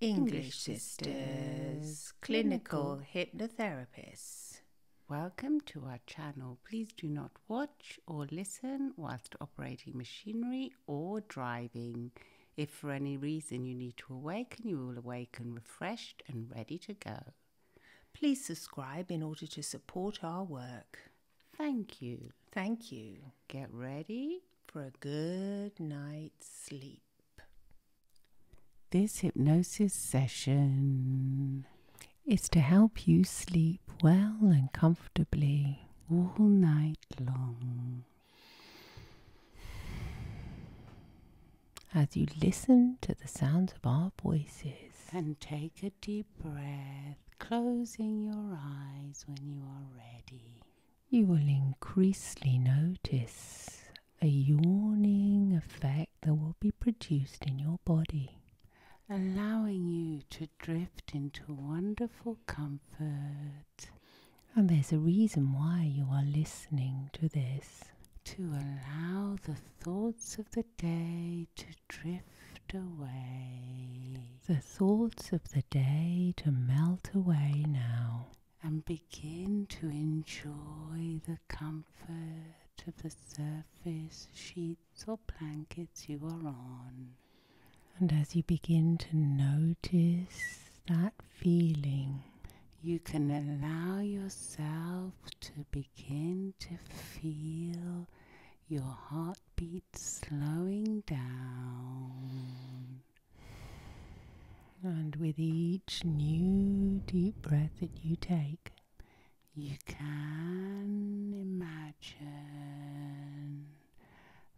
English Sisters, clinical hypnotherapists. Welcome to our channel. Please do not watch or listen whilst operating machinery or driving. If for any reason you need to awaken, you will awaken refreshed and ready to go. Please subscribe in order to support our work. Thank you. Thank you get ready for a good night's sleep. This hypnosis session is to help you sleep well and comfortably all night long. As you listen to the sounds of our voices, and take a deep breath, closing your eyes when you are ready you will increasingly notice a yawning effect that will be produced in your body, allowing you to drift into wonderful comfort. And there's a reason why you are listening to this. To allow the thoughts of the day to drift away. The thoughts of the day to melt away now and begin to enjoy the comfort of the surface, sheets, or blankets you are on. And as you begin to notice that feeling, you can allow yourself to begin to feel your heartbeat slowing down. And with each new deep breath that you take, you can imagine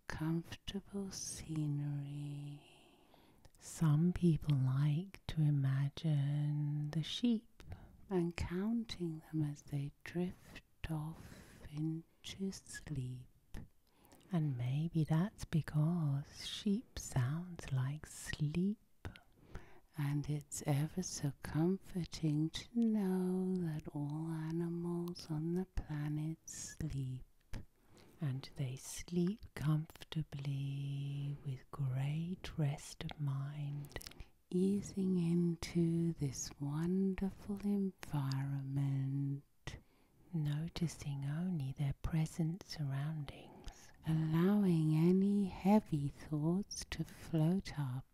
comfortable scenery. Some people like to imagine the sheep and counting them as they drift off into sleep. And maybe that's because sheep sounds like sleep. And it's ever so comforting to know that all animals on the planet sleep. And they sleep comfortably with great rest of mind, easing into this wonderful environment noticing only their present surroundings, allowing any heavy thoughts to float up.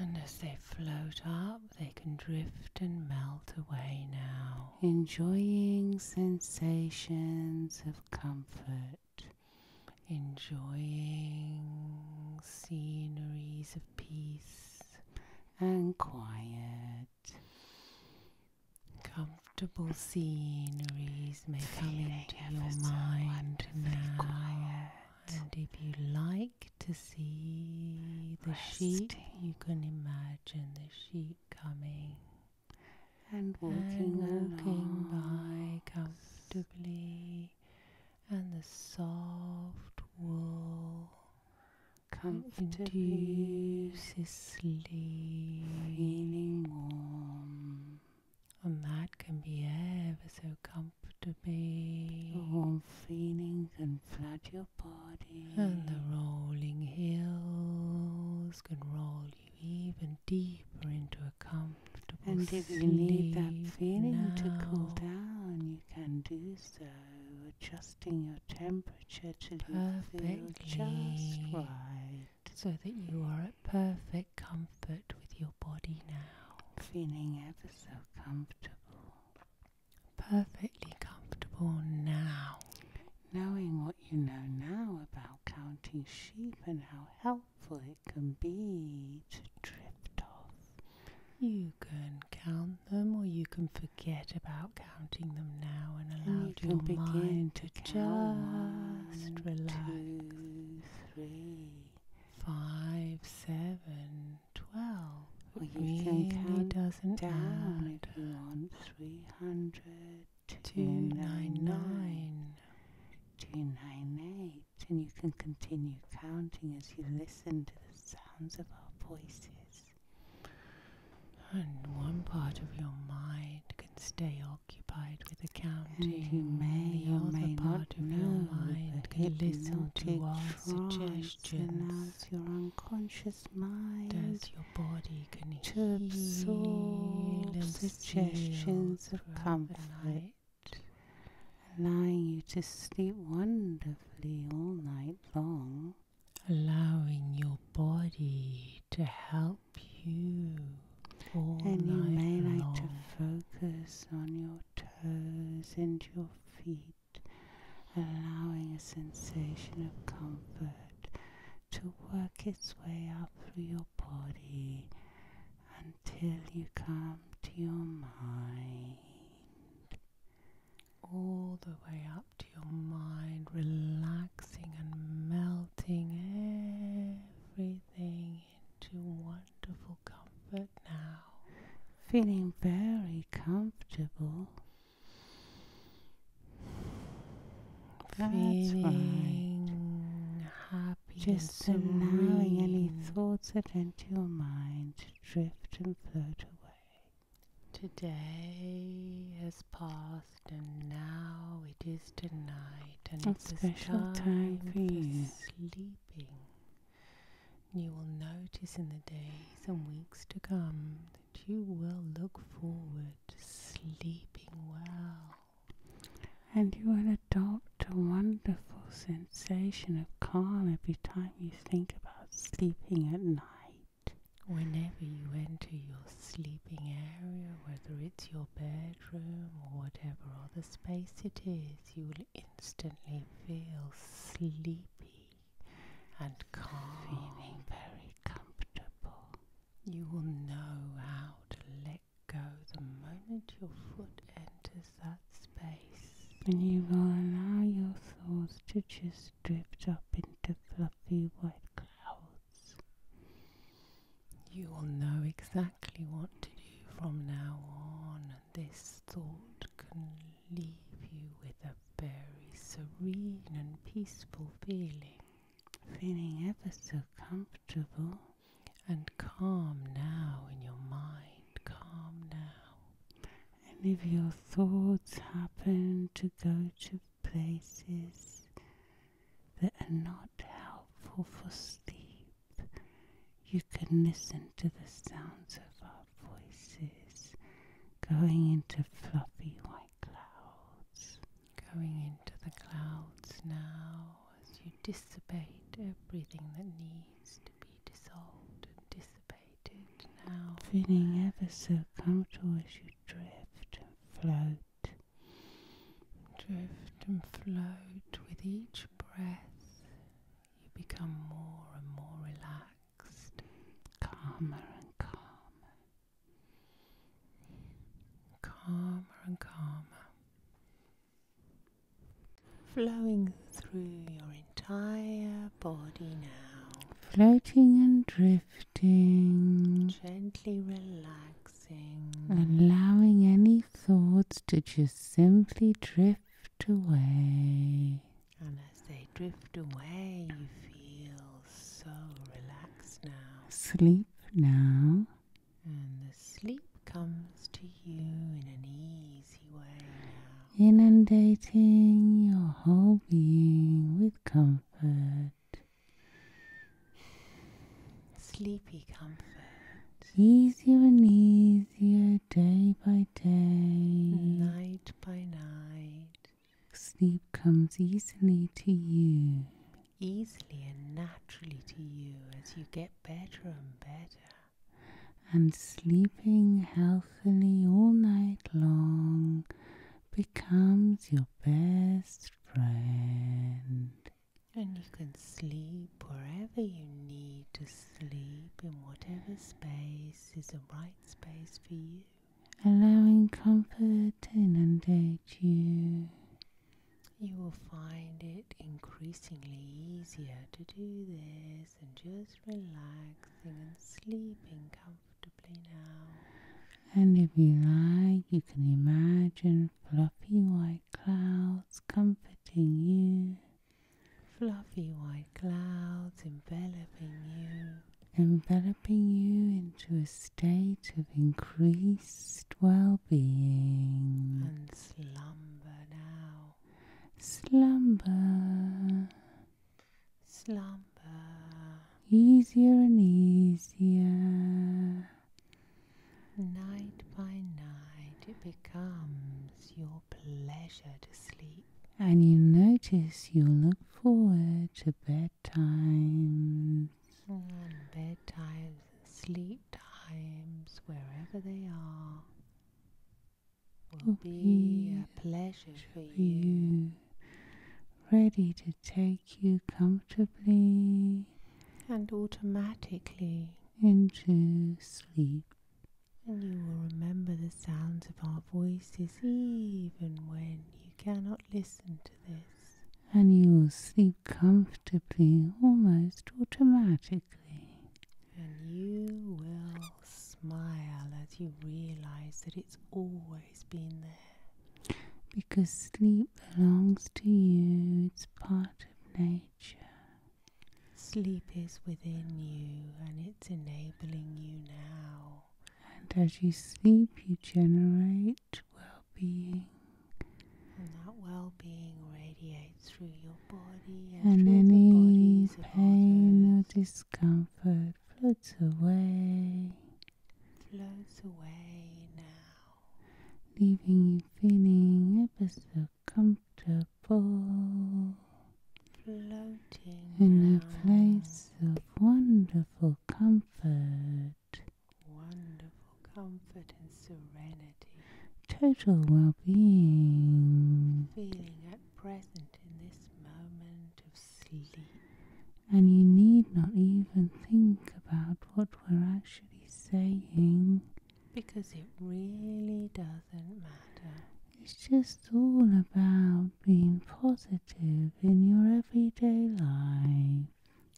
And as they float up, they can drift and melt away now, enjoying sensations of comfort, enjoying sceneries of peace and quiet. Comfortable sceneries may come into your mind now. And if you like to see the sheep, you can imagine the sheep coming and walking, by comfortably, and the soft wool comfortably sleep, feeling warm. And that can be ever so comfortably. The warm feeling can flood your body. And the rolling hills can roll you even deeper into a comfortable And if you need that feeling to cool down, you can do so, adjusting your temperature temperature just right. So that you are at perfect comfort with your body now. Feeling ever so comfortable. Perfectly comfortable now. Knowing what you know now about counting sheep and how helpful it can be to drift off. You can count on more you can forget about counting them now and allow you your mind to, just relax. Two, three. Five, seven, twelve. Or it really doesn't down Three hundred, two nine nine, two nine eight, and you can continue counting as you listen to the sounds of our voices and one part of your mind can stay occupied with accounting. You may the other may part of your mind can listen to our suggestions. As your unconscious mind, as your body can to absorb suggestions of comfort, allowing you to sleep wonderfully all night long allowing your body to help you all and you may long. like to focus on your toes and your feet, allowing a sensation of comfort to work its way up through your body until you come to your mind all the way up to your mind, relaxing and melting everything into wonderful comfort now. Feeling very comfortable. Feeling happy. Just allowing any thoughts that enter your mind to drift and float away. Today has passed and now it is tonight and a it's special time, for, sleeping. You will notice in the days and weeks to come that you will look forward to sleeping well. And you will adopt a wonderful sensation of calm every time you think about sleeping at night whenever you enter your sleeping area, whether it's your bedroom or whatever other space it is, you will instantly feel sleepy and calm, feeling very comfortable. You will know how to let go the moment your foot enters that space. And you will allow your thoughts to just drift up into fluffy white clouds. You will know exactly what to do from now on, this thought can leave you with a very serene and peaceful feeling, feeling ever so comfortable and calm now in your mind, calm now. And if your thoughts happen to go to places that are not helpful for sleep, you can listen to the sounds of our voices going into fluffy white clouds. Going into the clouds now as you dissipate everything that needs to be dissolved and dissipated now. Feeling ever so comfortable as you drift float, drift and float with each breath. You become more and more relaxed, calmer and calmer, calmer and calmer, flowing through your entire body now, floating and drifting. Relaxing. Gently relaxing. Allowing any thoughts to just simply drift away. And as they drift away, you feel so relaxed now. Sleep now. And the sleep comes to you in an easy way Inundating your whole being with comfort sleepy comfort, easier and easier day by day, night by night. Sleep comes easily to you, easily and naturally to you as you get better and better. And sleeping healthily all night long becomes your best friend. And you can sleep wherever you need to sleep, in whatever space is the right space for you. Allowing comfort to inundate you. You will find it increasingly easier to do this and just relaxing and sleeping comfortably. And if you like, you can imagine fluffy white clouds comforting you. Fluffy white clouds enveloping you. Enveloping you into a state of increased well being. And slumber now. Slumber. Slumber easier and easier. Night by night, it becomes your pleasure to sleep. And you notice you look forward to bedtimes. Mm, and bedtimes, sleep times, wherever they are, will, be, a pleasure for you. you. Ready to take you comfortably and automatically into sleep. And you will remember the sounds of our voices even when you cannot listen to this. And you will sleep comfortably almost automatically. And you will smile as you realize that it's always because sleep belongs to you, it's part of nature. Sleep is within you and it's enabling you now. And as you sleep, you generate well being. And that well being radiates through your body and, and any the pain or discomfort floats away flows away now, leaving you feeling ever so comfortable, floating in a place of wonderful comfort, wonderful comfort and serenity, total well being, feeling at present in this moment of and you need not even think about what we're actually saying because it really doesn't matter. It's just all about being positive in your everyday life.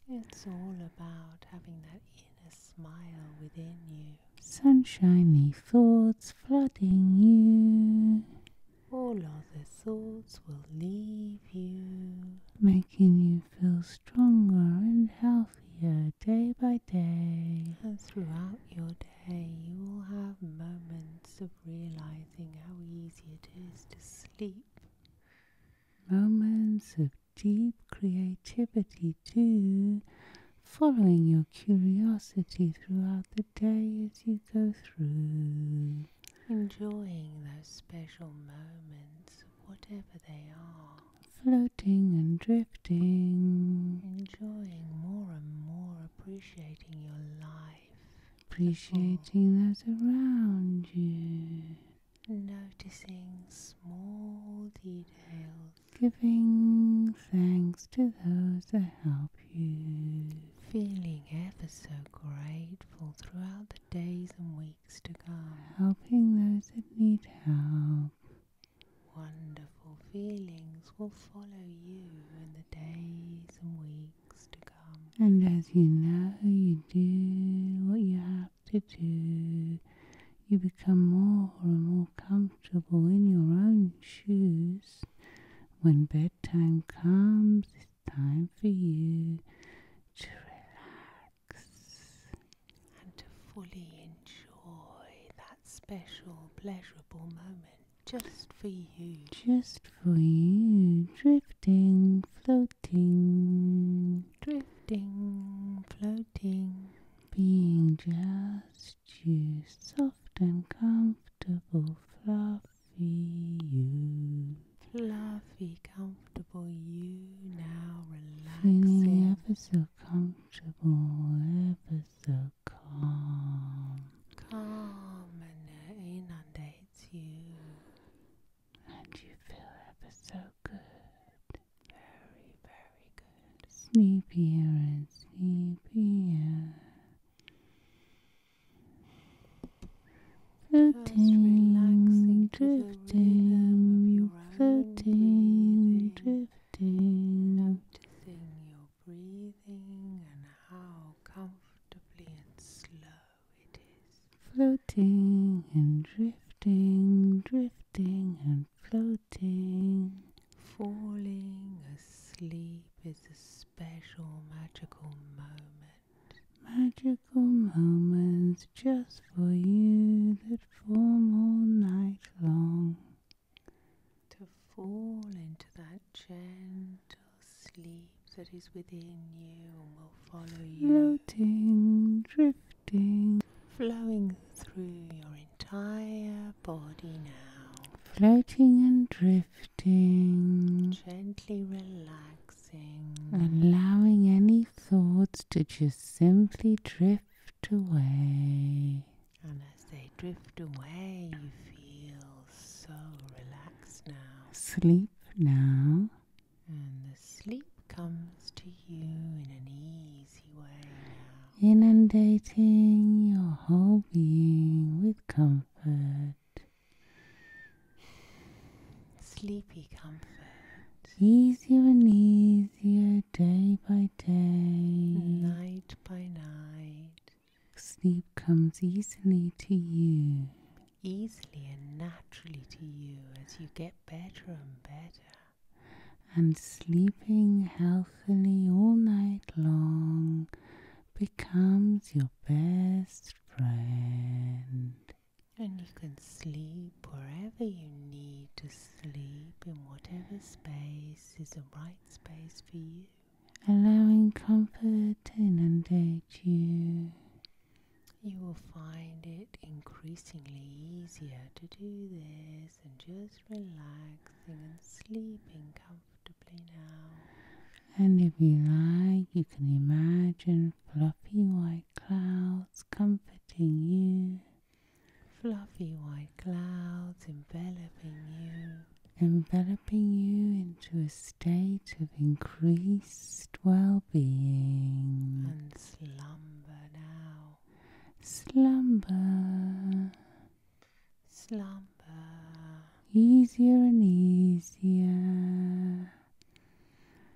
It's all about having that inner smile within you. Sunshiny thoughts flooding you. All other thoughts will leave you. Make making you feel stronger and healthier day by day. And throughout your day, you will have moments of realizing how easy it is to sleep. Moments of deep creativity, too, following your curiosity throughout the day as you go through. Enjoying those special moments, whatever they are. Floating and drifting. Enjoying more and more, appreciating your life. Appreciating those around you. Noticing small details. Giving thanks to those that help you. Feeling ever so grateful throughout the days and weeks to God. Helping those that need help. Wonderful feelings will follow you in the days and weeks to come. And as you know, you do what you have to do. You become more and more comfortable in your own shoes. When bedtime comes, time for you to relax and to fully enjoy that special, pleasurable moment just for you. Just for you, drifting, floating, drifting, floating, being just you, soft and comfortable, fluffy you fluffy, comfortable you now relaxing. Feeling ever so comfortable, ever so calm. Calm and it uh, inundates you. And you feel ever so good. Very, very good. Sleepier and sleepier. Floating, drifting, floating, drifting. Noticing your breathing and how comfortably and slow it is. Floating and drifting, drifting and floating. Falling asleep is a special magical moment Magical moments just for you that form all night long. To fall into that gentle sleep that is within you and will follow you. Floating, drifting, flowing through your entire body now. Floating and drifting. Gently relaxed allowing any thoughts to just simply drift away. And as they drift away, you feel so relaxed now. Sleep now. And the sleep comes to you in an easy way Inundating your whole being with comfort Sleepy comfort. Easier and easier, day by day. Night by night. Sleep comes easily to you. Easily and naturally to you as you get better and better. And sleeping healthily all night long becomes your best friend. And you can sleep wherever you need to sleep, in whatever space is the right space for you. Allowing comfort to inundate you. You will find it increasingly easier to do this and just relaxing and sleeping comfortably now. And if you like, you can imagine fluffy white clouds comforting you, fluffy white clouds enveloping you, enveloping you into a state of increased well being. And slumber now. Slumber. Slumber. Easier and easier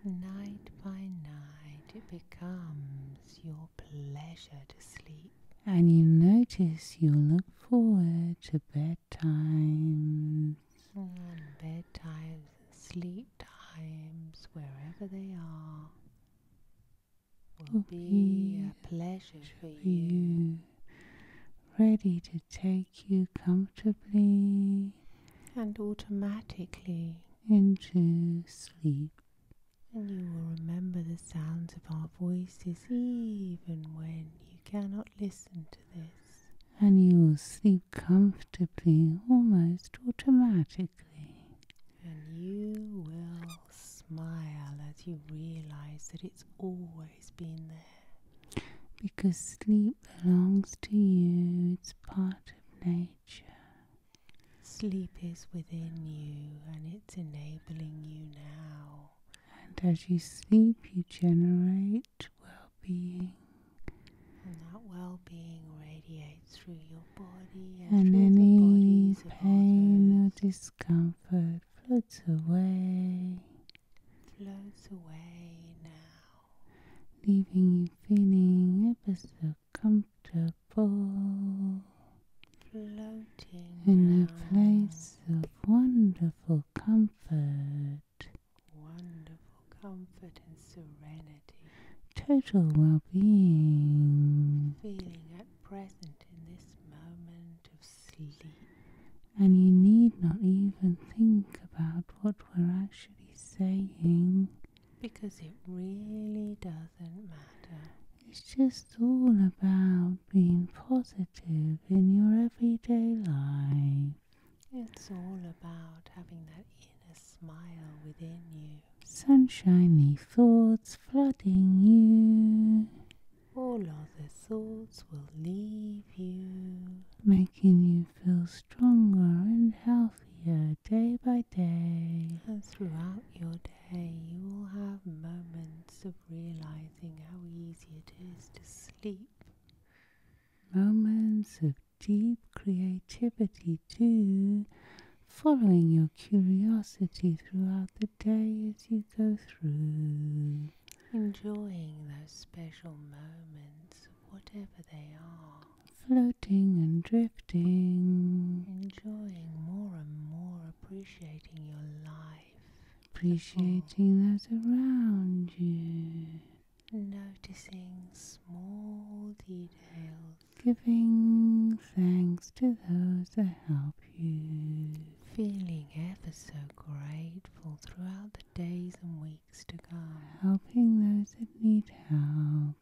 Night by night, it becomes your pleasure to sleep. And you notice you look forward to bedtimes. Mm, and bedtimes, sleep times, wherever they are, will be, a pleasure for you. Ready to take you comfortably and automatically into sleep. And you will remember the sounds of our voices even when you cannot listen to this. And you will sleep comfortably, almost automatically. And you will smile as you realize that it's always been there. Because sleep belongs to you, it's part of nature. Sleep is within you and it's enabling you now. And as you sleep, you generate well being. And that well being radiates through your body and, any pain or discomfort floats away. Floats away now, leaving you feeling ever comfortable. Floating in a place of wonderful comfort. Wonderful comfort and serenity. Total well being. Feeling at present in this moment of sleep. And you need not even think about what we're actually saying. Because it really doesn't matter. It's just all about being positive in your everyday life. It's all about having that inner smile within you. Sunshiny thoughts flooding you. All other thoughts will leave you. Making you feel stronger and healthier day by day. And throughout your day, you will have moments of realizing how easy it is to sleep. Moments of deep creativity, too, following your curiosity throughout the day as you go through. Enjoying those special moments whatever they are, floating and drifting, enjoying more and more, appreciating your life, appreciating those around you, noticing small details, giving thanks to those that help you. Feeling ever so grateful throughout the days and weeks to come. Helping those that need help.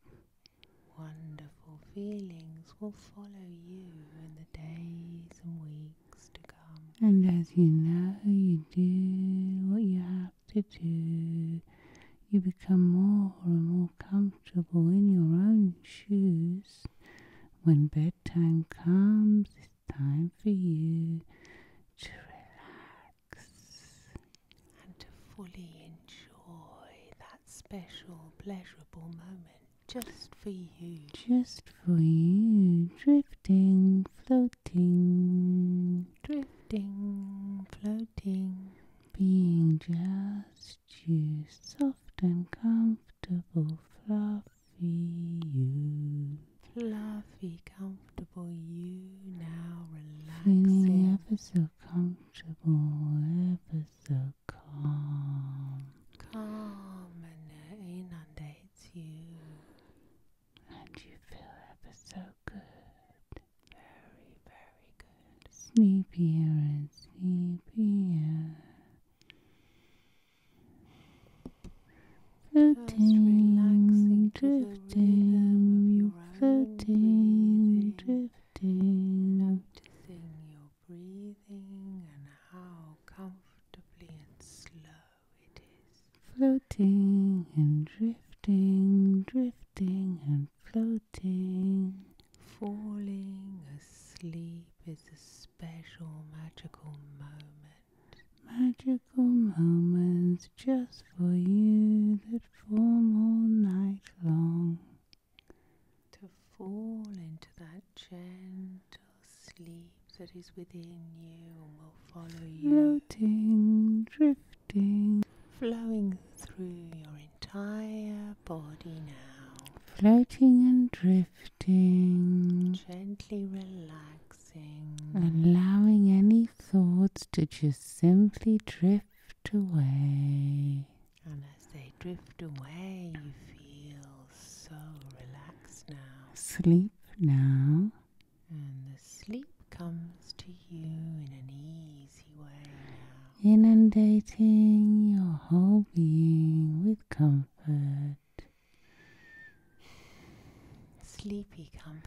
Wonderful feelings will follow you in the days and weeks to come. And as you know, you do what you have to do. You become more and more comfortable in your own shoes. When bedtime comes, it's time for you to relax and to fully enjoy that special, pleasurable moment just for you. Just for you, drifting, floating, drifting, floating, being just you, soft and comfortable, fluffy you. Fluffy, comfortable you now, relaxing. Feeling ever so comfortable comfortable, ever so calm. Calm and it inundates you. And you feel ever so good. Very, very good. Sleepier and sleepier. Floating, drifting, floating, drifting. Noticing your breathing and how comfortably and slow it is. Floating and drifting, drifting and floating. Falling asleep is a special magical moment. Magical moments just for you that form all night long to fall into that gentle sleep that is within you and will follow you. Floating, drifting, flowing through your entire body now. Floating and drifting. Gently relaxing. Allowing any thoughts to just simply drift drift away. And as they drift away, you feel so relaxed now. Sleep now. And the sleep comes to you in an easy way Inundating your whole being with comfort. Sleepy comfort.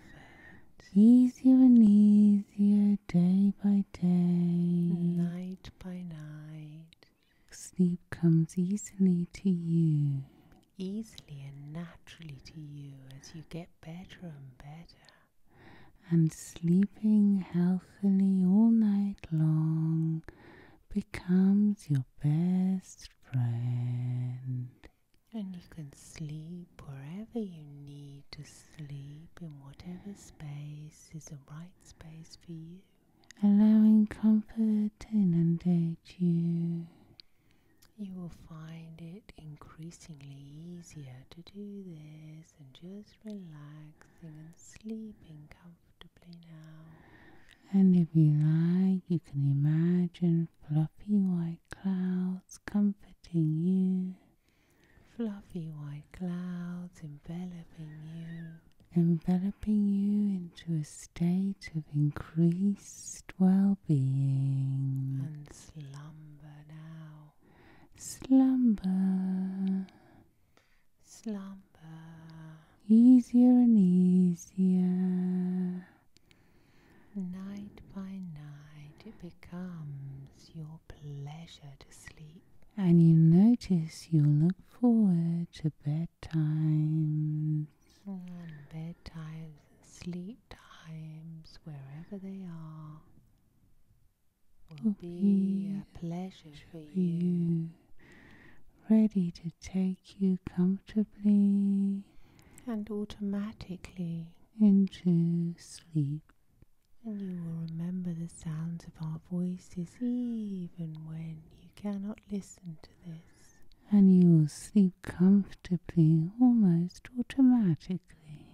Easier and easier day by day, night by night. Sleep comes easily to you. Easily and naturally to you as you get better and better. And sleeping healthily all night long becomes your best friend. And you can sleep wherever you need to sleep in whatever space is the right space for you, allowing comfort to inundate you. You will find it increasingly easier to do this and just relaxing and sleeping comfortably now. And if you like, you can imagine fluffy white clouds comforting you fluffy white clouds enveloping you, enveloping you into a state of increased well being. And slumber now. Slumber. Slumber. Easier and easier. Night by night, it becomes your pleasure to sleep. And you notice you look forward to bedtime, mm, And bedtimes, sleep times, wherever they are, will be, a pleasure for you. Ready to take you comfortably and automatically into sleep and you will remember the sounds of our voices even when you cannot listen to this. And you will sleep comfortably almost automatically.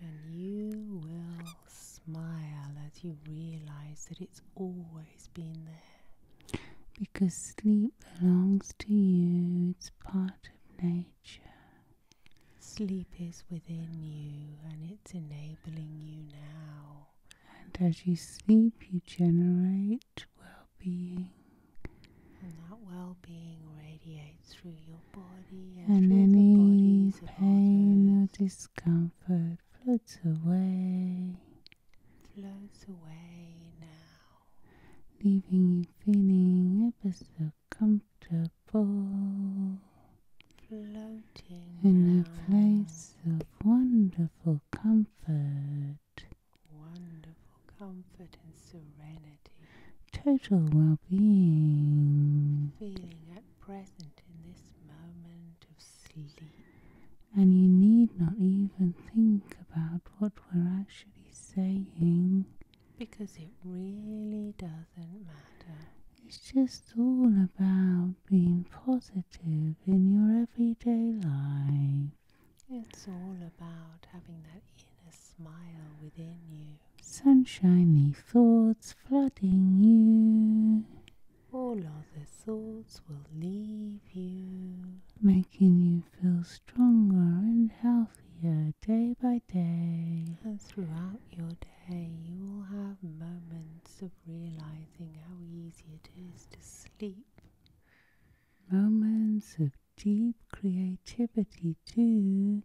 And you will smile as you realize that it's always been there. Because sleep belongs to you, it's part of nature. Sleep is within you and it's enabling you now. And as you sleep, you generate well being. And that well being radiates through your body and, and any pain or discomfort floats away. Floats away now. Leaving you feeling ever so comfortable floating in a place of wonderful comfort, wonderful comfort and serenity, total well being, feeling at present in this moment of sleep. And you need not even think about what we're actually saying because it really doesn't matter. It's just all about being positive in your everyday life. It's all about having that inner smile within you. Sunshiny thoughts flooding you. All other thoughts will leave you. Making you feel stronger and healthier day by day. And throughout your day you will have moments of realizing how easy it is to sleep. Moments of deep creativity, too,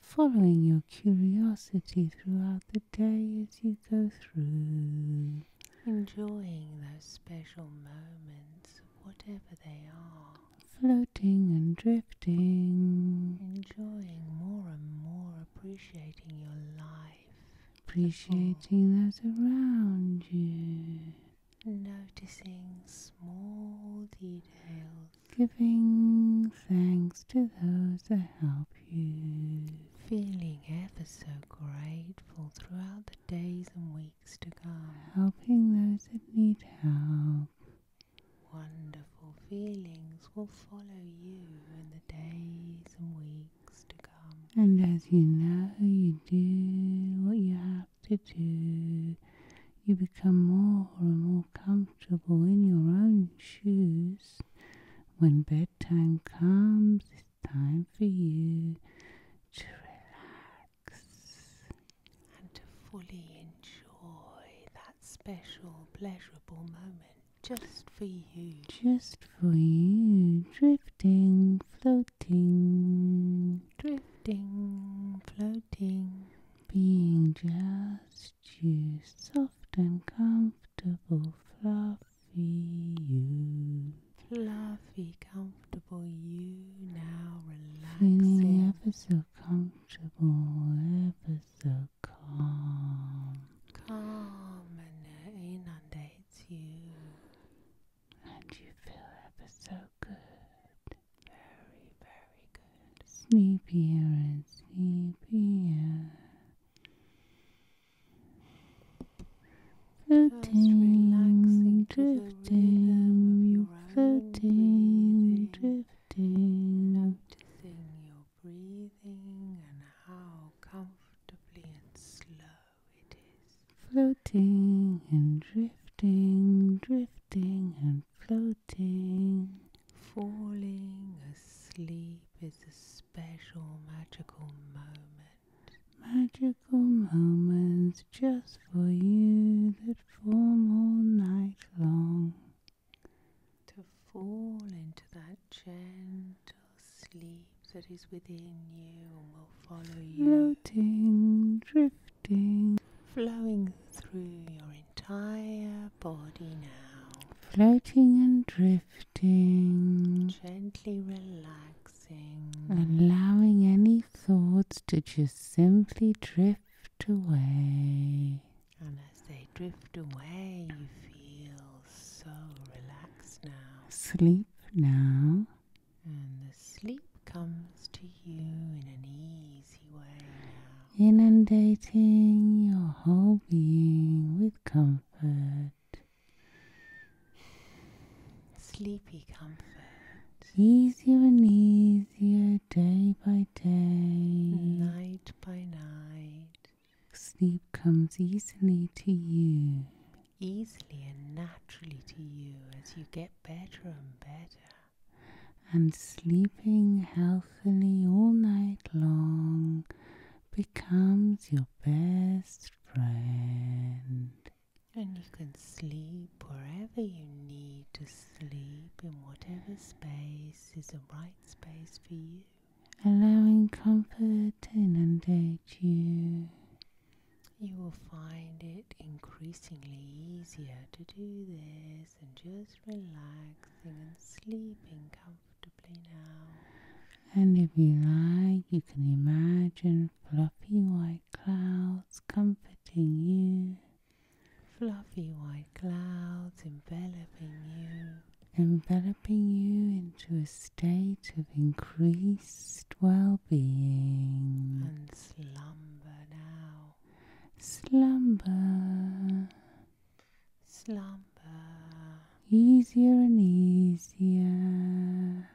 following your curiosity throughout the day as you go through. Enjoying those special moments, whatever they are. Floating and drifting. Enjoying more and more appreciation appreciating your life, appreciating those around you, noticing small details, giving thanks to those that help you, feeling ever so grateful throughout the days and weeks to come, helping those that need help. Wonderful feelings will follow you in the days and weeks to come. And as you know, you do what you have to do. You become more and more comfortable in your own shoes. When bedtime comes, it's time for you to relax and to fully enjoy that special, pleasurable moment just for you. Just for you. Drifting, floating. Drifting, floating. Being just you. Soft and comfortable, fluffy you. Fluffy, comfortable you now relaxing. Feeling ever so comfortable, ever so calm. Calm and it inundates you. And you feel ever so good. Very, very good. Sleepier and sleepier. Floating, drifting, floating, drifting. Noticing your breathing and how comfortably and slow it is. Floating and drifting, drifting and floating. Falling asleep is a special magical moment. Magical moments just for you that form all night long to fall into that gentle sleep that is within you and will follow you. Floating, drifting, flowing through your entire body now. Floating and drifting. Gently relaxing. Allowing any thoughts to just simply drift away. And as they drift away, you feel so relaxed now. Sleep now. And the sleep comes to you in an easy way Inundating your whole being with comfort. Sleepy comfort. Easier and easier, day by day, night by night. Sleep comes easily to you. Easily and naturally to you as you get better and better. And sleeping healthily all night long becomes your best friend. And you can sleep wherever you need to sleep, in whatever space is the right space for you allowing comfort to inundate you. You will find it increasingly easier to do this and just relaxing and sleeping comfortably now. And if you like, you can imagine fluffy white clouds comforting you. Fluffy white clouds enveloping you enveloping you into a state of increased well being. And slumber now. Slumber. Slumber. Easier and easier.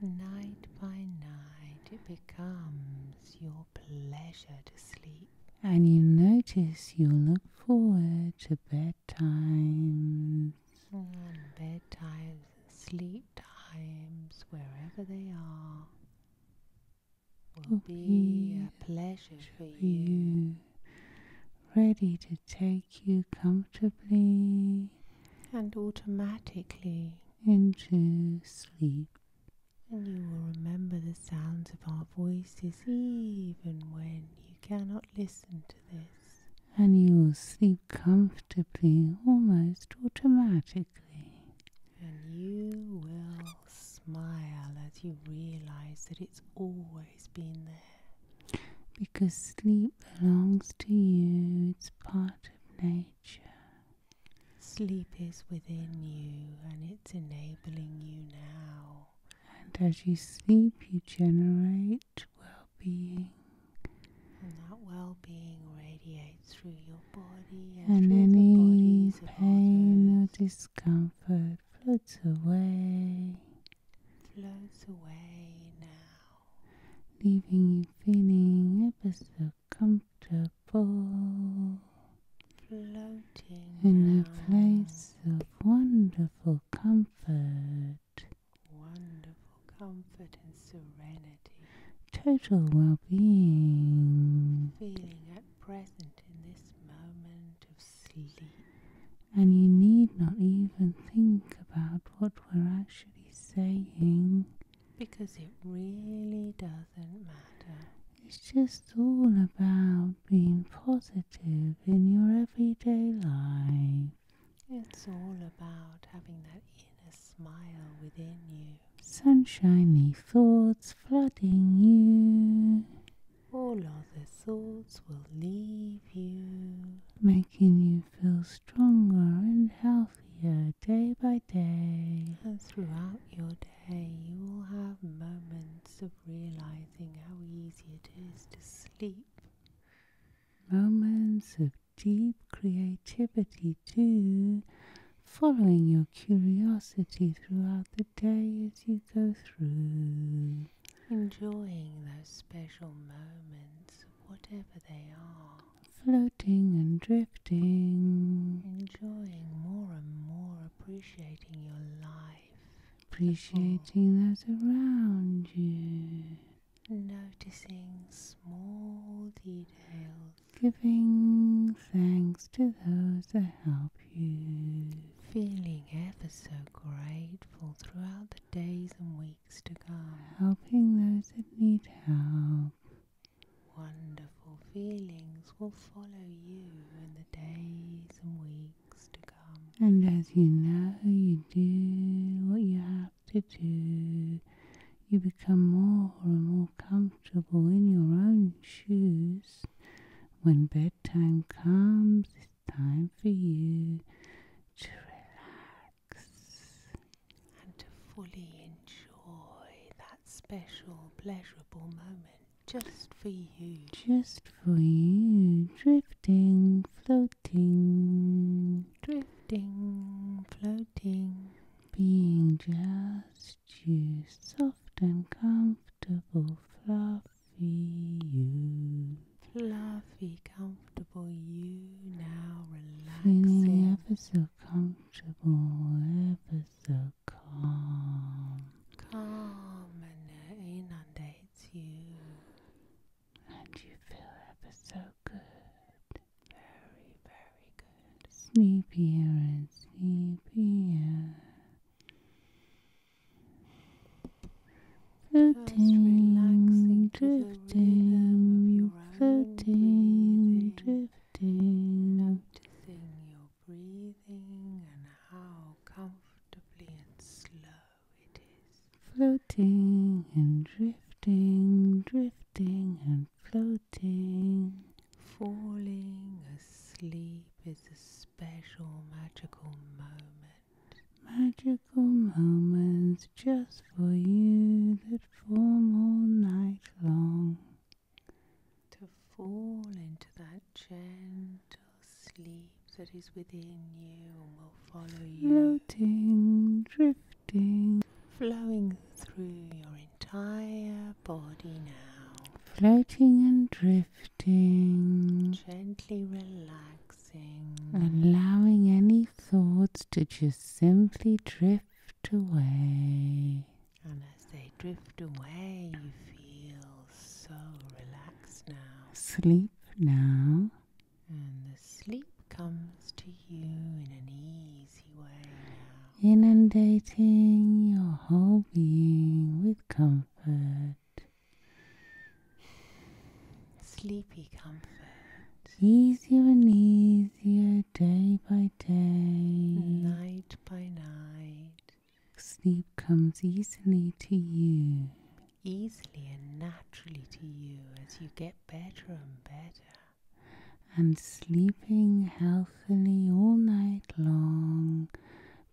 Night by night, it becomes your pleasure to sleep. And you notice you look forward to bedtime Mm, bedtimes, sleep times, wherever they are, will, will be, a pleasure for you. Ready to take you comfortably and automatically into sleep. And you will remember the sounds of our voices even when you cannot listen listen to this, and you will sleep comfortably almost automatically. And you will smile as you realize that it's always been there. Because sleep belongs to you, it's part of nature. Sleep is within you and it's enabling you now. And as you sleep, you generate well being. And that well being radiates through your body and, and any pain or discomfort floats away. Floats away now, leaving you feeling ever so comfortable. Floating in a place of wonderful comfort, wonderful comfort and serenity, total well being, feeling at present in this moment of sleep. And you need not even think about what we're actually saying because it really doesn't matter. It's just all about being positive in your everyday life. It's all about having that inner smile within you. Sunshiny thoughts flooding you. All other thoughts will leave you. Making you feel stronger and healthier day by day. And throughout your day, you will have moments of realizing how easy it is to sleep Moments of deep creativity, too, following your curiosity throughout the day as you go through. Enjoying those special moments, whatever they are. Floating and drifting. Enjoying more and more, appreciating your life appreciating those around you, noticing small details, giving thanks to those that help you, feeling ever so grateful throughout the days and weeks to come, helping those that need help. Wonderful feelings will follow you in the days and weeks and as you know, you do what you have to do. You become more and more comfortable in your own shoes. When bedtime comes, it's time for you to relax and to fully enjoy that special, pleasurable moment just for you. Just just for you, drifting, floating, drifting, floating, being just you, soft and comfortable, fluffy you, fluffy, comfortable you. Now relaxing, feeling ever so comfortable, ever so calm, calm, and it uh, inundates you and you feel ever so good. Very, very good. Sleepier and sleepier. Floating, drifting, floating, drifting. Noticing your breathing and how comfortably and slow it is floating and drifting, drifting and floating. Falling asleep is a special magical moment. Magical moments just for you that form all night long. To fall into that gentle sleep that is within you will follow you. Floating, drifting, flowing through your entire body now. Floating and drifting. Gently relaxing. Allowing any thoughts to just simply drift away. And as they drift away, you feel so relaxed now. Sleep now. And the sleep comes to you in an easy way Inundating your whole being with comfort. Sleepy comfort. Easier and easier day by day. Night by night. Sleep comes easily to you easily and naturally to you as you get better and better. And sleeping healthily all night long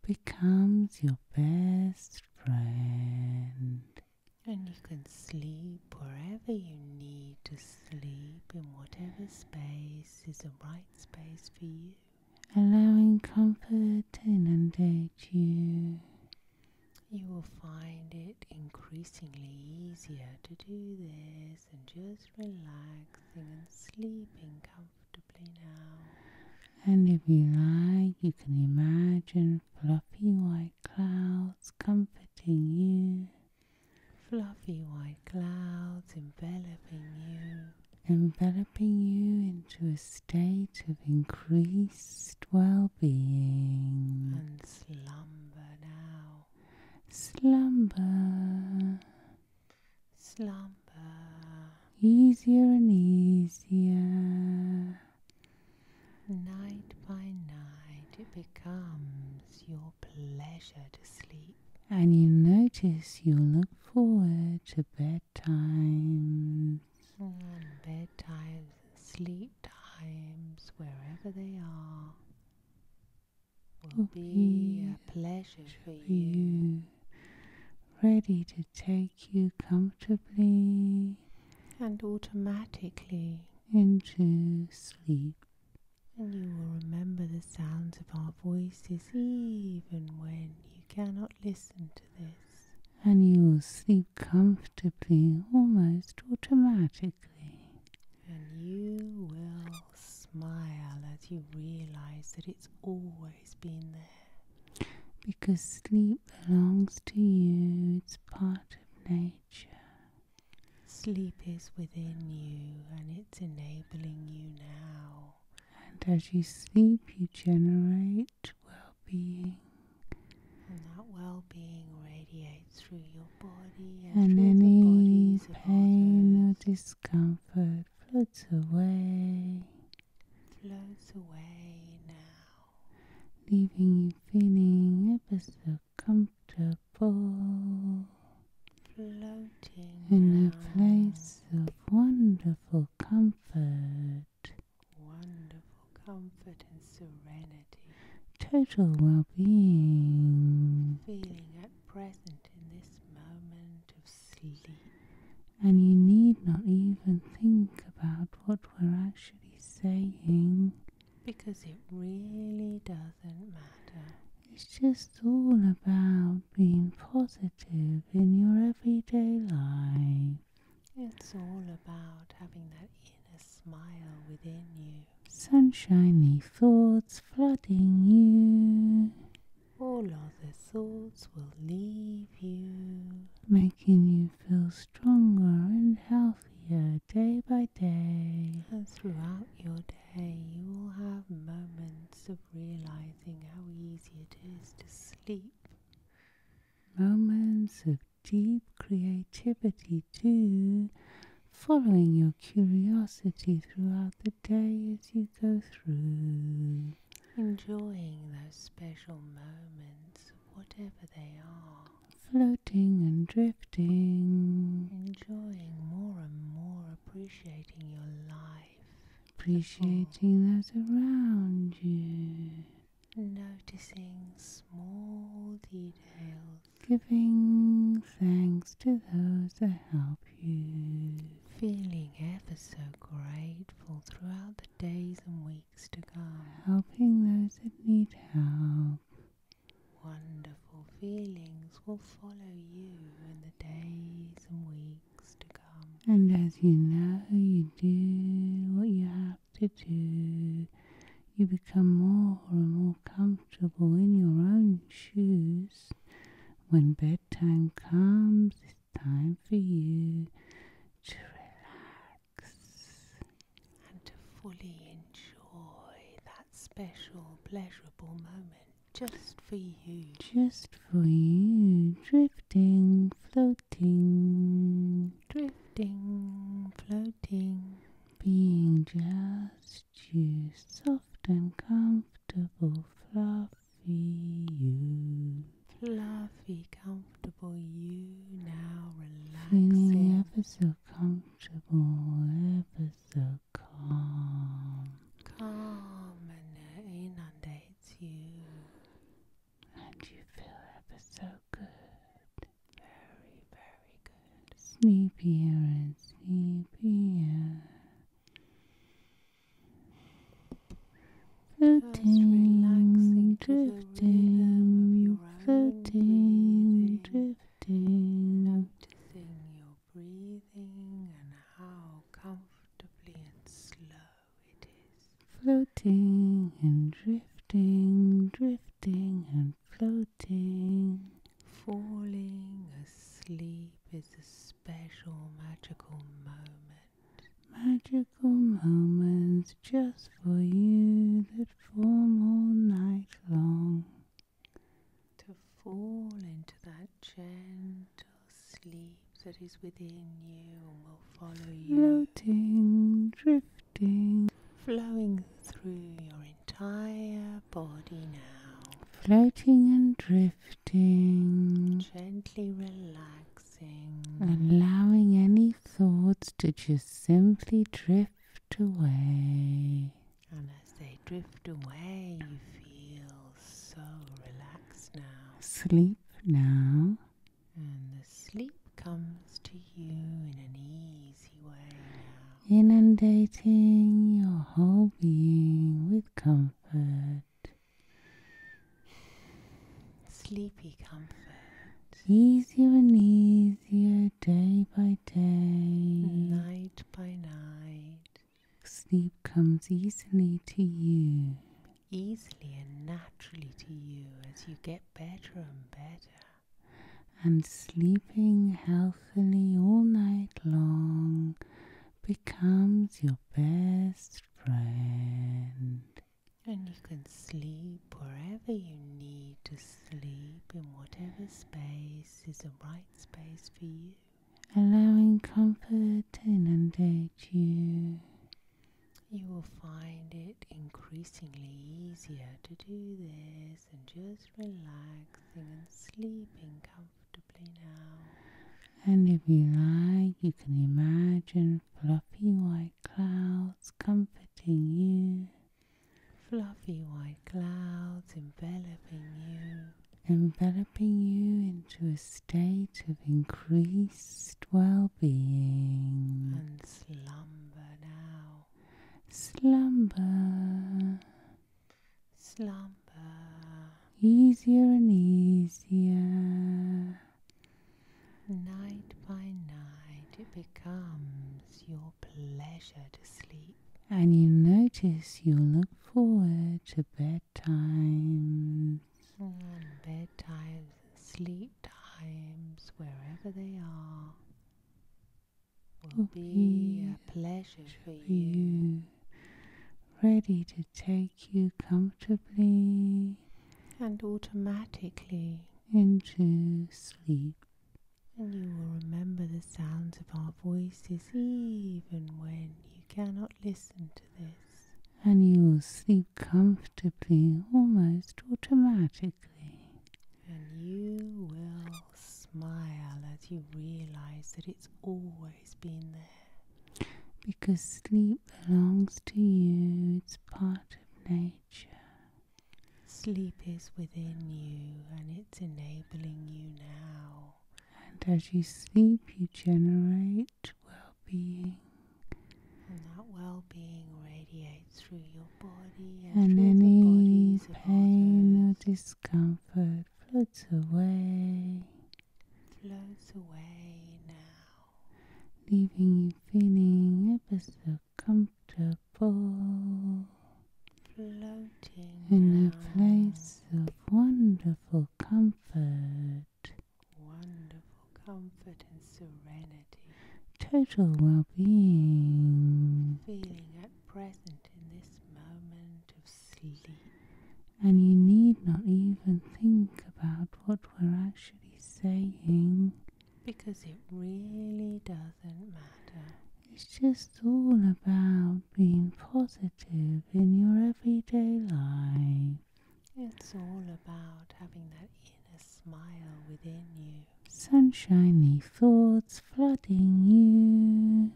becomes your best friend. And you can sleep wherever you need to sleep, in whatever space is the right space for you. Allowing comfort to inundate you. You will find it increasingly easier to do this and just relaxing and sleeping comfortably now. And if you like, you can imagine fluffy white clouds comforting you. Fluffy white clouds enveloping you. Enveloping you into a state of increased well being. And slumber now. Slumber. Slumber. Easier and easier. Night by night, it becomes your pleasure to sleep. And you notice you look forward to bedtime and mm, bed sleep times, wherever they are, will be a pleasure for you. Ready to take you comfortably and automatically into sleep. And you will remember the sounds of our voices even when you cannot listen to and you will sleep comfortably almost automatically. And you will smile as you realize that it's always been there. Because sleep belongs to you, it's part of nature. Sleep is within you and it's enabling you now. And as you sleep, you generate well being. And that well being radiates through your body and, and any pain or discomfort floats away. Floats away now, leaving you feeling ever so comfortable. Floating in a place of wonderful comfort wonderful comfort and serenity, total well being, feeling at present in this moment of sleep. And you need not even think about what we're actually saying because it really doesn't matter. It's just all about being positive in your everyday life. It's all about having that inner smile within you. Sunshiny thoughts flooding you. All other thoughts will leave you. Making you feel stronger and healthier day by day. And throughout your day, you will have moments of realizing how easy it is to sleep. Moments of deep creativity too, following your curiosity throughout the day as you go through. Enjoying those special moments, whatever they are. Floating and drifting. Enjoying more and more, appreciating your life. Appreciating those around you noticing small details, giving thanks to those that help you, feeling ever so grateful throughout the days and weeks to come, helping those that need help. Wonderful feelings will follow you in the days and weeks to come. And as you know, you do what you have to do. You become more and more comfortable in your own shoes. When bedtime comes, it's time for you to relax and to fully enjoy that special, pleasurable moment just for you. Just for you. Drifting, floating. Drifting, floating being just you, soft and comfortable, fluffy you. Fluffy, comfortable you now relaxing. Feeling ever so comfortable, ever so calm. Calm and it uh, inundates you. And you feel ever so good. Very, very good. Sleepier and sleepier. Floating, drifting, floating, drifting. Noticing your breathing and how comfortably and slow it is. Floating and drifting, drifting and floating. Falling asleep is a special magical moment. Magical moments just for you that form all night long. To fall into that gentle sleep that is within you and will follow you. Floating, drifting Connecting, flowing through your entire body now. Floating and drifting, gently relaxing, allowing any thoughts to just simply drift away. And as they drift away, you feel so relaxed now. Sleep now. And the sleep comes to you in an ease way Inundating your whole being with comfort. Sleepy comfort. Easier and easier day by day. Night by night. Sleep comes easily to you. Easily and naturally to you as you get better and better and sleeping healthily all night long becomes your best friend. And you can sleep wherever you need to sleep, in whatever space is the right space for you. Allowing comfort to inundate you. You will find it increasingly easier to do this and just relaxing and sleeping comfortably now. And if you like, you can imagine fluffy white clouds comforting you. Fluffy white clouds enveloping you. Enveloping you into a state of increased well being. And slumber now. Slumber. Slumber. Easier and easier. Night by night, it becomes your pleasure to sleep. And you notice you look forward to bedtimes. And mm, bedtimes, sleep times, wherever they are will be a pleasure for you. Ready to take you comfortably and automatically into sleep. And you will remember the sounds of our voices even when you cannot listen to this. And you will sleep comfortably, almost automatically and you will smile as you realize that it's always been there. Because sleep belongs to you, it's part of nature. Sleep is within you and it's enabling you now. And as you sleep, you generate well being. And that well being radiates and any pain or discomfort floats away. Floats away now, leaving you feeling ever so comfortable. Floating in a place of wonderful comfort. Wonderful comfort and serenity. Total well-being. Feeling present in this moment of sleep. And you need not even think about what we're actually saying. Because it really doesn't matter. It's just all about being positive in your everyday life. It's all about having that inner smile within you sunshiny thoughts flooding you.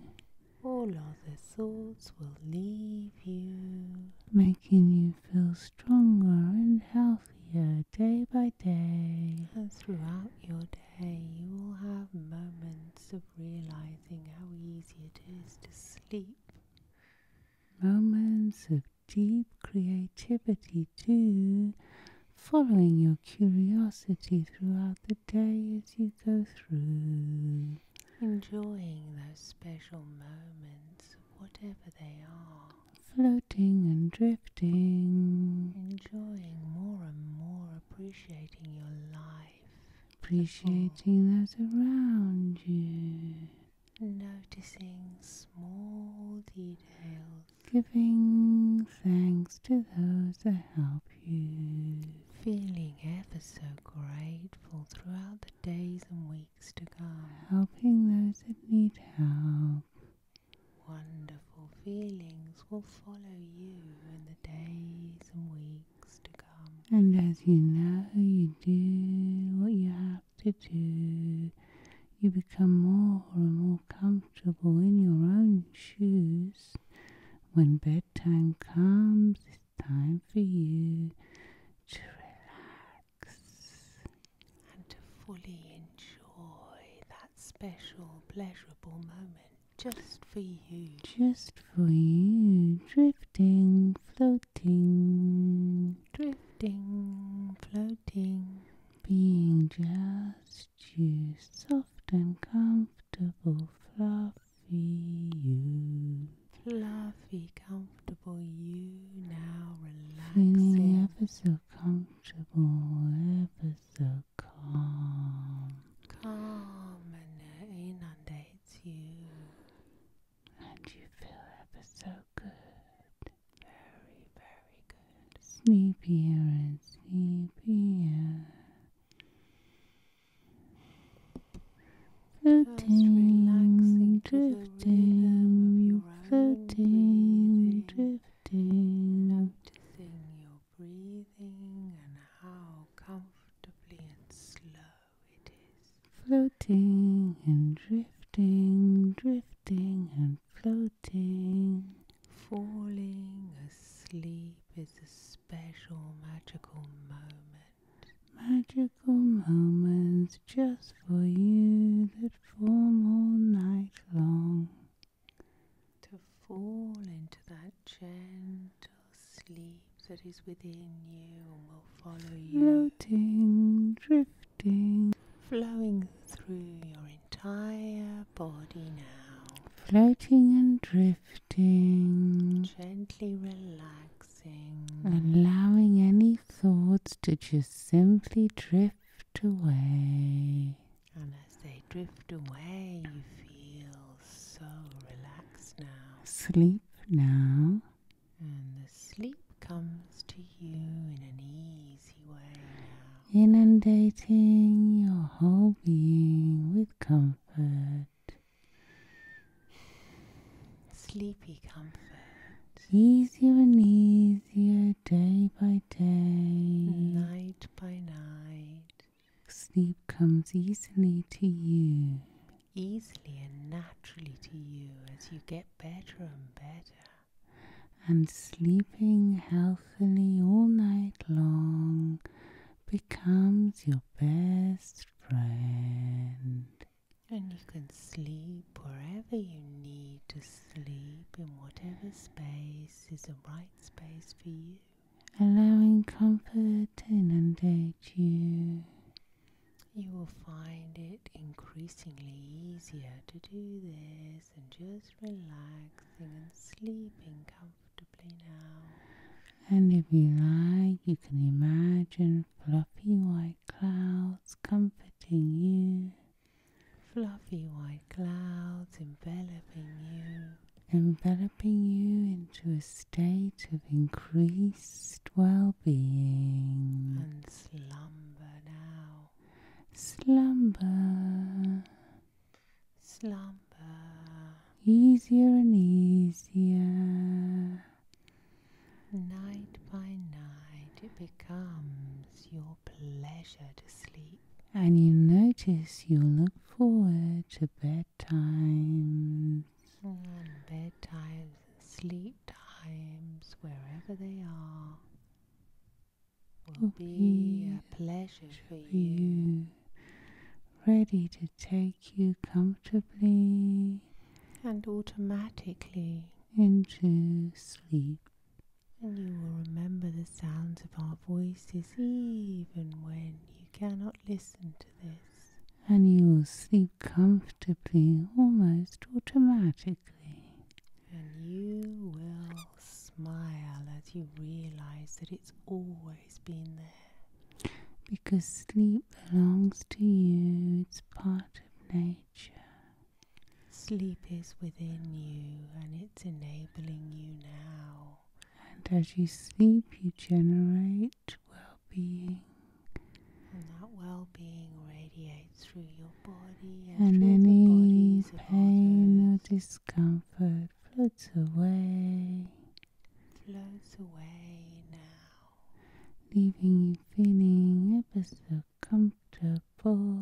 All other thoughts will leave you, making you feel stronger and healthier day by day. And throughout your day, you will have moments of realizing how easy it is to sleep. Moments of deep creativity too, following your curiosity throughout the day as you go through. Enjoying those special moments, whatever they are. Floating and drifting. Enjoying more and more, appreciating your life. Appreciating those around you. Noticing small details giving thanks to those that help you. Feeling ever so grateful throughout the days and weeks to come. Helping those that need help. Wonderful feelings will follow you in the days and weeks to come. And as you know, you do what you have to do, you become more and more comfortable in your own shoes. When bedtime comes, it's time for you to relax and to fully enjoy that special, pleasurable moment just for you. Just for you, drifting, floating, drifting, floating, being just is you, soft and comfortable, fluffy you. Fluffy, comfortable you now, relaxing. Feeling ever so comfortable, ever so calm. Calm and it uh, inundates you. And you feel ever so good. Very, very good sleepier and sleepier. Floating, drifting, floating, drifting. Noticing your breathing and how comfortably and slow it is. Floating and drifting, drifting and floating. Falling asleep is a special magical moment. Magical moments just for you that form all night long. To fall into that gentle sleep that is within you and will follow you. Floating, drifting, flowing through your entire body now, floating and drifting, gently relaxing, allowing any thoughts to just simply drift away. And as they drift away, you feel so relaxed now. Sleep now. And the sleep comes to you in an easy way Inundating your whole being with comfort. Sleepy comfort. Easier and easier day by day. Night by night. Sleep comes easily to you. Easily and naturally to you as you get better and better. And sleeping healthily all night long becomes your best friend. And you can sleep wherever you need to sleep, in whatever space is the right space for you. Allowing comfort to inundate you. You will find it increasingly easier to do this and just relaxing and sleeping and if you like, you can imagine fluffy white clouds comforting you. Fluffy white clouds enveloping you. Enveloping you into a state of increased well being. And slumber now. Slumber slumber easier and easier. Night by night, it becomes your pleasure to sleep. And you notice you look forward to bedtimes. Mm, and bedtimes, sleep times, wherever they are, will, be, a pleasure for you ready to take you comfortably and automatically into sleep. And you will remember the sounds of our voices even when you cannot listen to this. And you will sleep comfortably, almost automatically. And you will smile as you realize that it's always because sleep belongs to you, it's part of nature. Sleep is within you and it's enabling you now. And as you sleep, you generate well being. And that well being radiates through your body and, and any pain or discomfort floats away, floats away now, leaving you feeling ever so comfortable,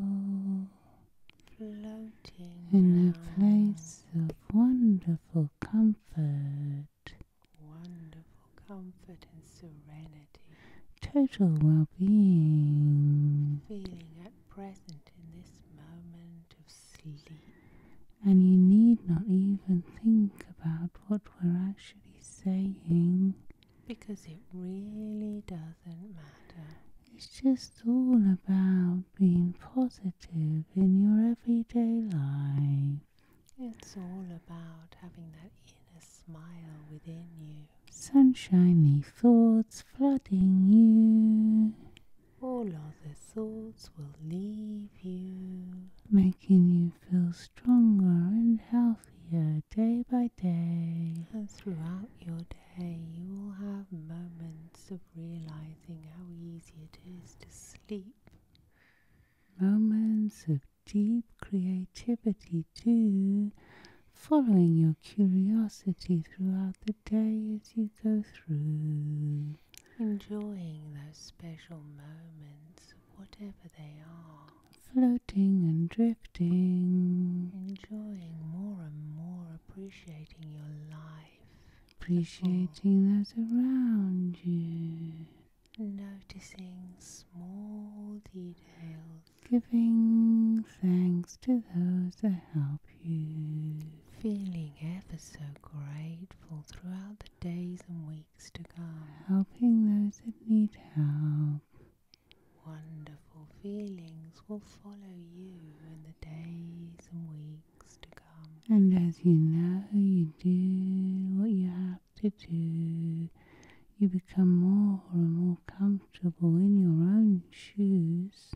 floating in a place of wonderful comfort, wonderful comfort and serenity, total well being, feeling at present in this moment of sleep and you need not even think about what we're actually saying. Because it really doesn't matter. It's just all about being positive in your everyday life. It's all about having that inner smile within you. Sunshiny thoughts flooding you. All other thoughts will leave you, making you feel stronger and healthier day by day. And throughout your day, you will have moments of realizing how easy it is to sleep. Moments of deep creativity, too, following your curiosity throughout the day as you go through enjoying those special moments, whatever they are. Floating and drifting. Enjoying more and more, appreciating your life. Appreciating those around you. Noticing small details. Giving thanks to those that help feeling ever so grateful throughout the days and weeks to come. Helping those that need help. Wonderful feelings will follow you in the days and weeks to come. And as you know, you do what you have to do. You become more and more comfortable in your own shoes.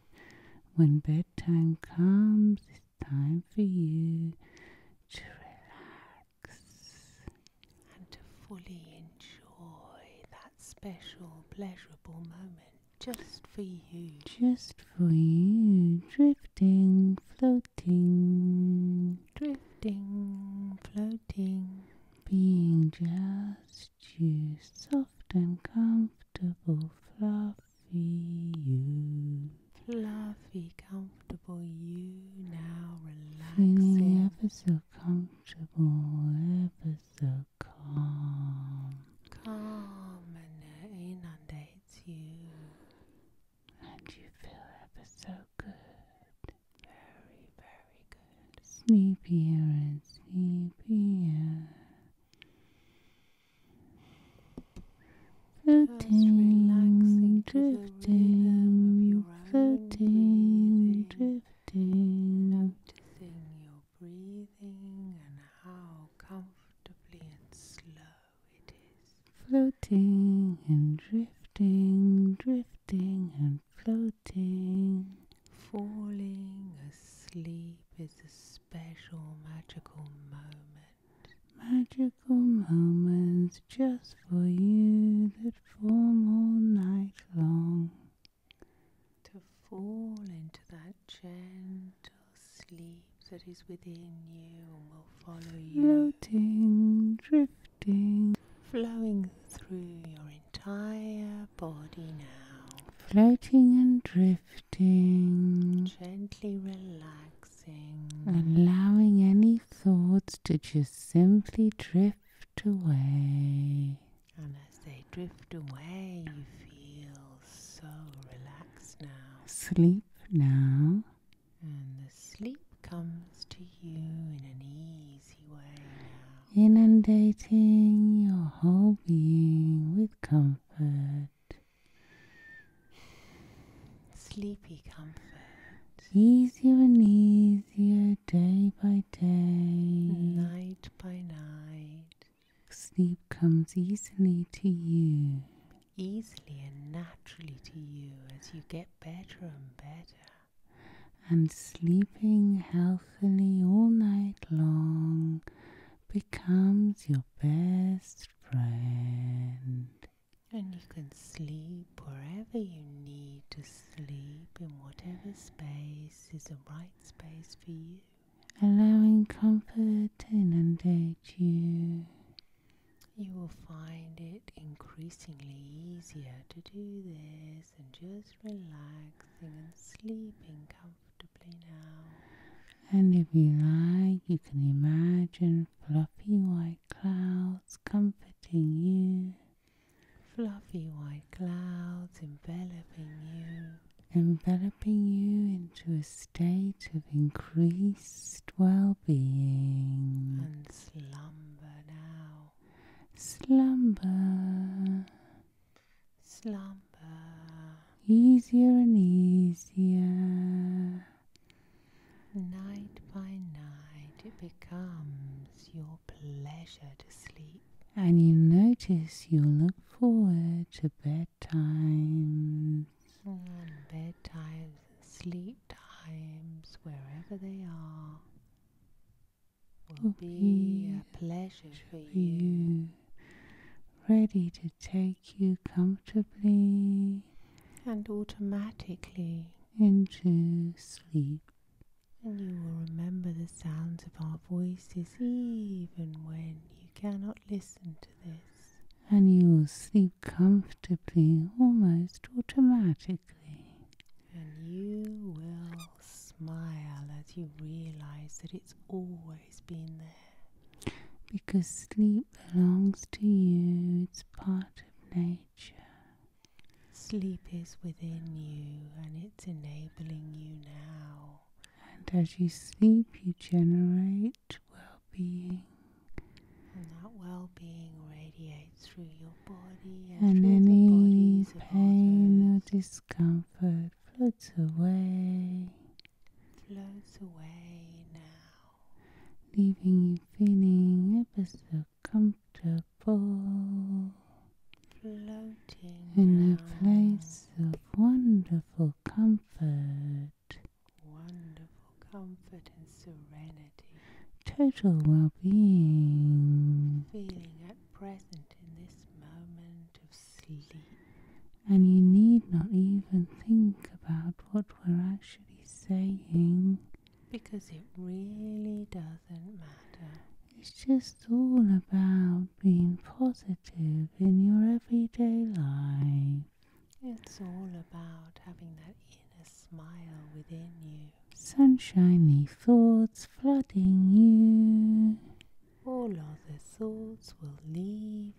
When bedtime comes, time for you to relax and to fully enjoy that special, pleasurable moment just for you. Just for you, drifting, floating, drifting, floating, being just you, soft and comfortable. Double fluffy you. Fluffy, comfortable you now relaxing. Feeling ever so comfortable, ever so calm. Calm and it uh, inundates you. And you feel ever so good. Very, very good. Sleepier and sleepier. Floating, drifting, floating, drifting. Noticing your breathing and how comfortably and slow it is. Floating and drifting, drifting and floating. Falling asleep is a special magical moment Magical moments just for you that form all night long. To fall into that gentle sleep that is within you and will follow you. Floating, drifting, flowing through your entire body now. Floating and drifting. Gently relax allowing any thoughts to just simply drift away. And as they drift away, you feel so relaxed now. Sleep now. And the sleep comes to you in an easy way Inundating your whole being with comfort sleepy comfort, easier and easier day by day, night by night. Sleep comes easily to you, easily and naturally to you as you get better and better. And sleeping healthily all night long becomes your best friend. And you can sleep wherever you need to sleep, in whatever space is the right space for you. Allowing comfort to inundate you. You will find it increasingly easier to do this and just relaxing and sleeping comfortably now. And if you like, you can imagine fluffy white clouds comforting you, fluffy white clouds enveloping you, enveloping you into a state of increased well being. And slumber now. Slumber. Slumber. Easier and easier Night by night, it becomes your pleasure to sleep. And you notice you look forward to bedtime. Mm, and bedtimes, sleep times, wherever they are, will be, a pleasure for you. Ready to take you comfortably and automatically into sleep. And you will remember the sounds of our voices even when you cannot listen to this. And you will sleep comfortably, almost automatically. And you will smile as you realize that it's always been there. Because sleep Sleep belongs to you, it's part of nature. Sleep is within you and it's enabling you now. And as you sleep, you generate well being. And that well being radiates through your body and, and any pain or discomfort floats away. Floats away now leaving you feeling ever so comfortable. Floating in a place of wonderful comfort. Wonderful comfort and serenity. Total well being. Feeling at present in this moment of sleep. And you need not even think about what we're actually saying. Because it really doesn't matter. It's just all about being positive in your everyday life. It's all about having that inner smile within you. Sunshiny thoughts flooding you. All other thoughts will leave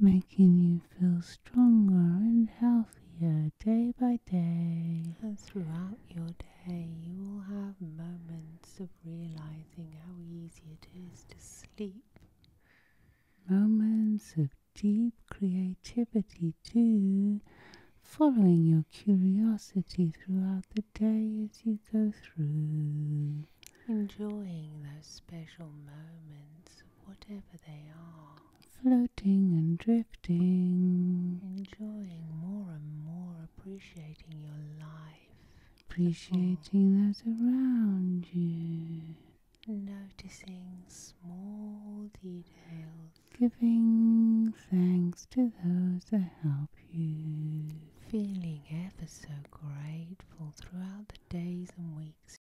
making you feel stronger and healthier day by day. And throughout your day, you will have moments of realizing how easy it is to sleep. Moments of deep creativity, too. Following your curiosity throughout the day as you go through. Enjoying those special moments whatever they are, floating and drifting, enjoying more and more, appreciating your life, appreciating those around you, noticing small details, giving thanks to those that help you, feeling ever so grateful throughout the days and weeks